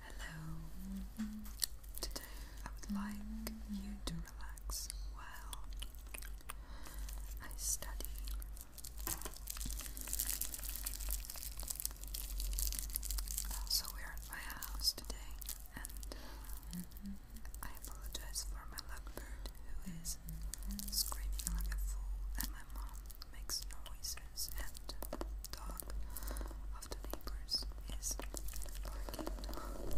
Hello. Today I would like you to relax well. I study. Uh, so we are at my house today, and uh, I apologize for my lovebird who is screaming like a fool, and my mom makes noise neighbors and dog of the neighbors is barking we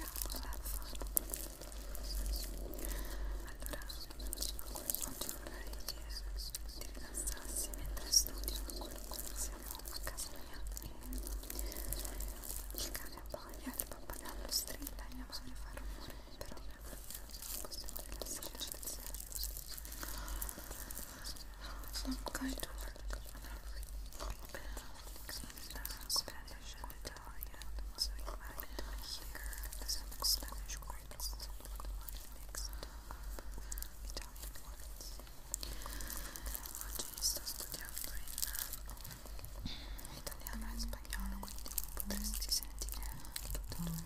have fun. Allora, quanto vorrei che ti rilassassi mentre studio siamo a I'm going to work on a in Spanish and Italian, so you might hear some Spanish words mixed with Italian words. Oggi sto studiando in italiano e spagnolo, quindi potresti sentire tutte e due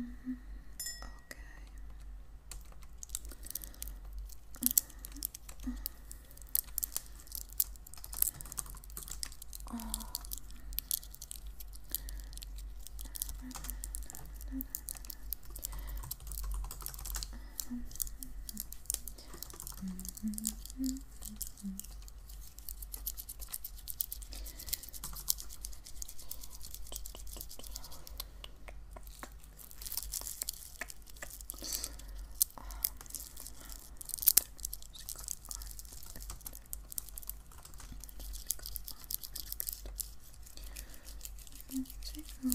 Mm -hmm. Okay. Oh. Let's go on. Let's go on. Let's go on. Let's -hmm.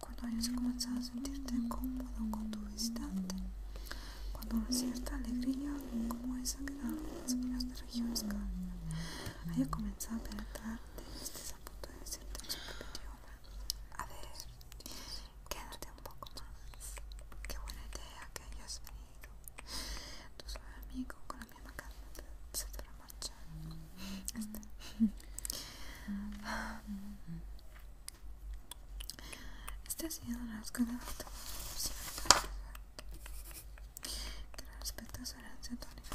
Cuando hayas comenzado a sentirte cómodo con tu visitante, cuando una cierta alegría como esa que dan las minas de regiones cálidas haya comenzado a penetrarte, estés a punto de decirte en su idioma. A ver, quédate un poco más. Qué buena idea que hayas venido. Tu suave amigo con la misma calma se te la marcha. Este. Este ha sido las ganadas. Que respecto a su herencia tónica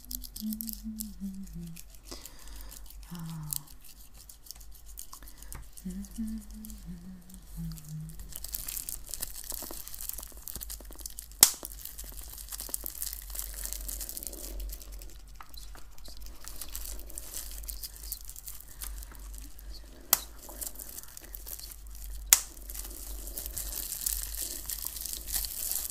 oh. Ah. Thank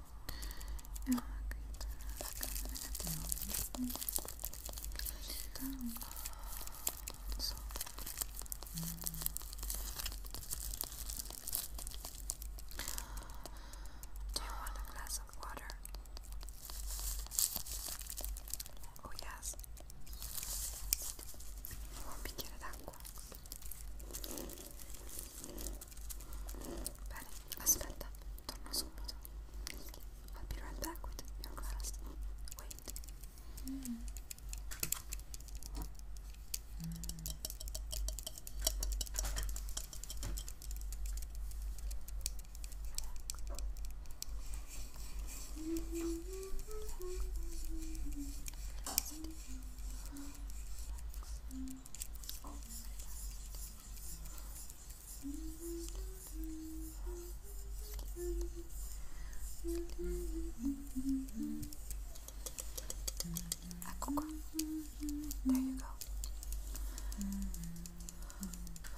Do you want a glass of water? Oh, yes. Uma pequena d'água. Bene, aspetta, torno subito. I'll be right back with your glass. Wait. Mm. A ah, There you go.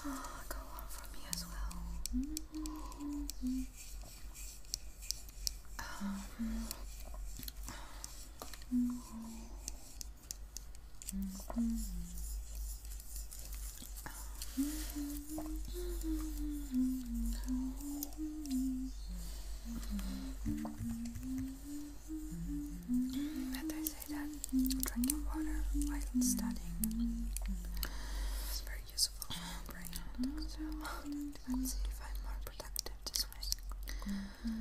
Ah, go on for me as well. Um, that they say that drinking water while studying is very useful for your brain. So see if I'm more productive this way.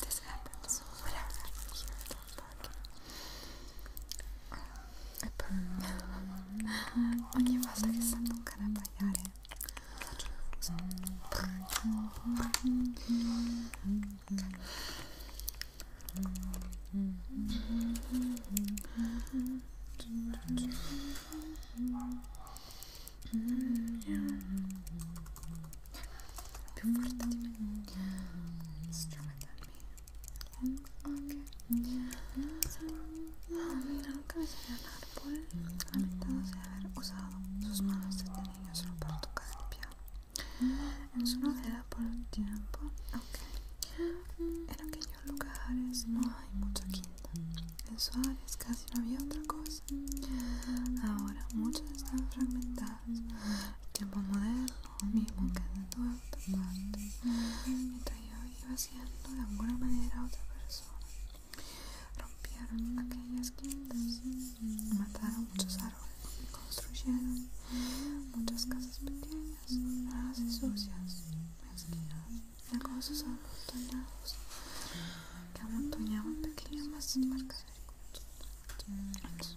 this happens whenever I I poi ogni volta che sento un cane abbaiare faccio più forte di me, nunca me salió un árbol lamentándose de haber usado sus manos de niño solo para tocar el piano en su novela por un tiempo Ok en aquellos lugares no hay mucha quinta en su Suárez casi no había otra cosa ahora muchas están fragmentadas el tiempo moderno mismo quedando otra parte mientras yo iba siendo de alguna manera otra persona rompieron aquellas quintas mataron muchos árboles construyeron muchas casas pequeñas raras y sucias mezquinas cosas amontoñadas, que amontoñaban pequeñas masas de mercadería en sus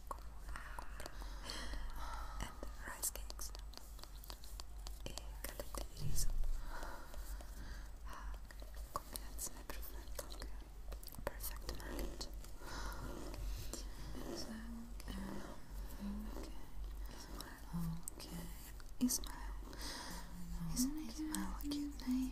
and rice cakes. E gallette di riso. Combinazione perfetta, Is okay. Okay. Okay. Isn't Ismail cute name?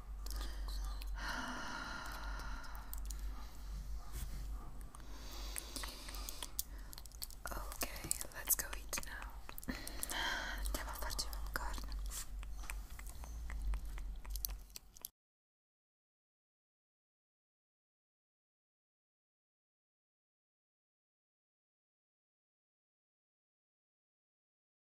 Okay, let's go eat now. Andiamo a farci popcorn.